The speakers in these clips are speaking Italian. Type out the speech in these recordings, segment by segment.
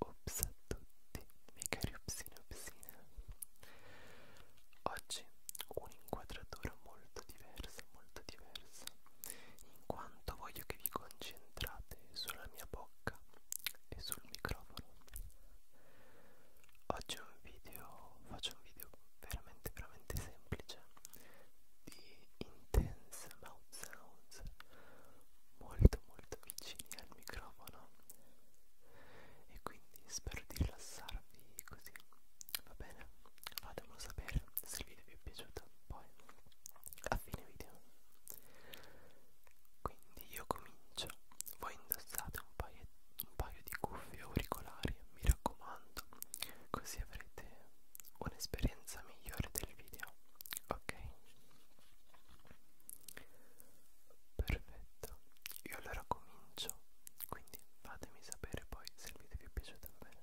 Ops a tutti, miei cari upsine upsine Oggi un'inquadratura molto diversa, molto diversa In quanto voglio che vi concentrate concentrate sulla mia bocca e sul microfono. Oggi un video, faccio un video veramente veramente semplice di intense mouth sounds molto molto vicini al microfono e quindi spero di rilassarvi così va bene fatemelo sapere se il video vi è piaciuto poi a fine video quindi io comincio, voi indossate un paio, un paio di cuffie auricolari, mi raccomando, così avrete un'esperienza migliore del video, ok? Perfetto, io allora comincio, quindi fatemi sapere poi se il video vi è piaciuto bene.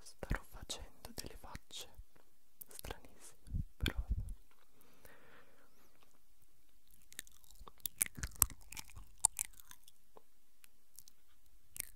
Starò facendo delle facce stranissime, però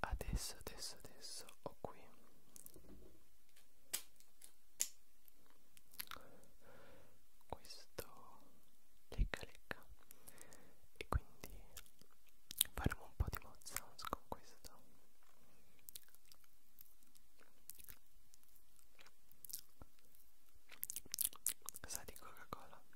adesso adesso adesso ho qui questo lecca lecca e quindi faremo un po' di mouth sounds con questo sa di coca cola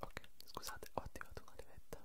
Ok, scusate, ho attivato una livetta.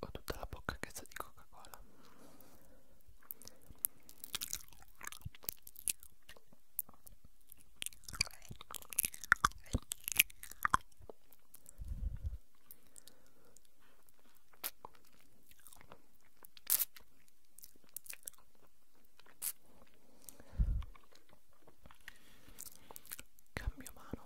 ho tutta la bocca che sa di coca cola Cambio mano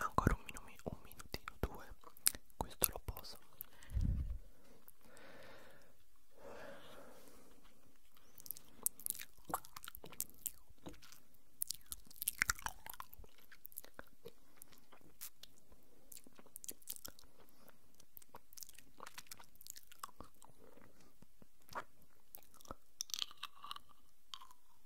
ancora un, minu un minutino, due questo lo poso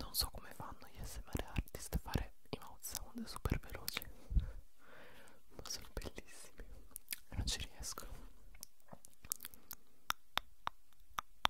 Non so come fanno gli SMR artist a fare i mouth sound super veloci, ma sono bellissimi e non ci riesco.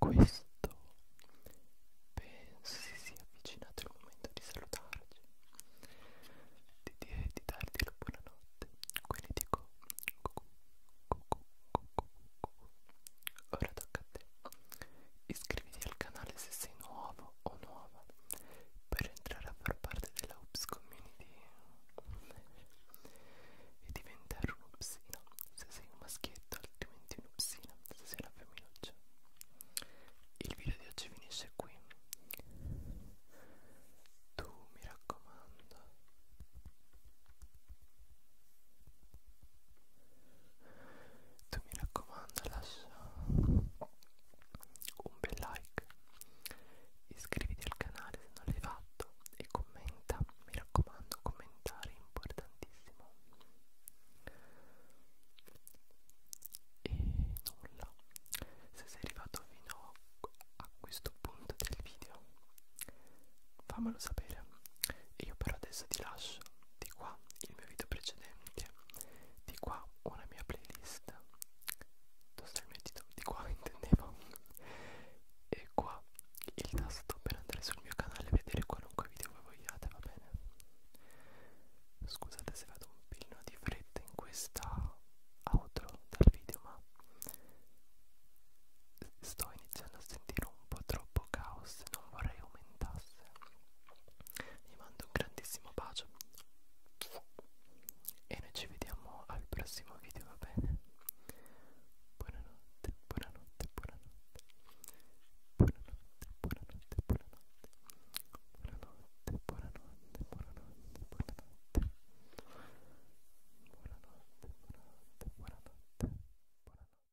Con questo penso si sia avvicinato il momento di salutarci, di, di, di darti la buonanotte, quindi dico cucù, cucù, cucù, cucù. ora tocca a te Iscriviti al canale se sei nuovo o nuova per entrare a far parte della Ups Community e diventare un'upsina se sei un maschietto altrimenti un'upsina se sei una femminuccia il video di oggi finisce qui tu mi raccomando tu mi raccomando lascia un bel like iscriviti al canale se non l'hai fatto e commenta mi raccomando commentare è importantissimo e nulla se sei arrivato fino a questo punto del video fammelo sapere e io però adesso ti lascio di qua il mio video precedente, di qua una mia playlist, dove sta il mio titolo, di qua intendevo, e qua il tasto per andare sul mio canale e vedere qualunque video voi vogliate, va bene? Scusate se vado un pillino di fretta in questa outro dal video, ma sto iniziando a sentire un un po' troppo caos e non vorrei aumentasse. Vi mando un grandissimo bacio e noi ci vediamo al prossimo video, va bene? Buonanotte, buonanotte, buonanotte. Buonanotte, buonanotte, buonanotte. Buonanotte, buonanotte, buonanotte, buonanotte. Buonanotte, buonanotte, buonanotte. Buonanotte.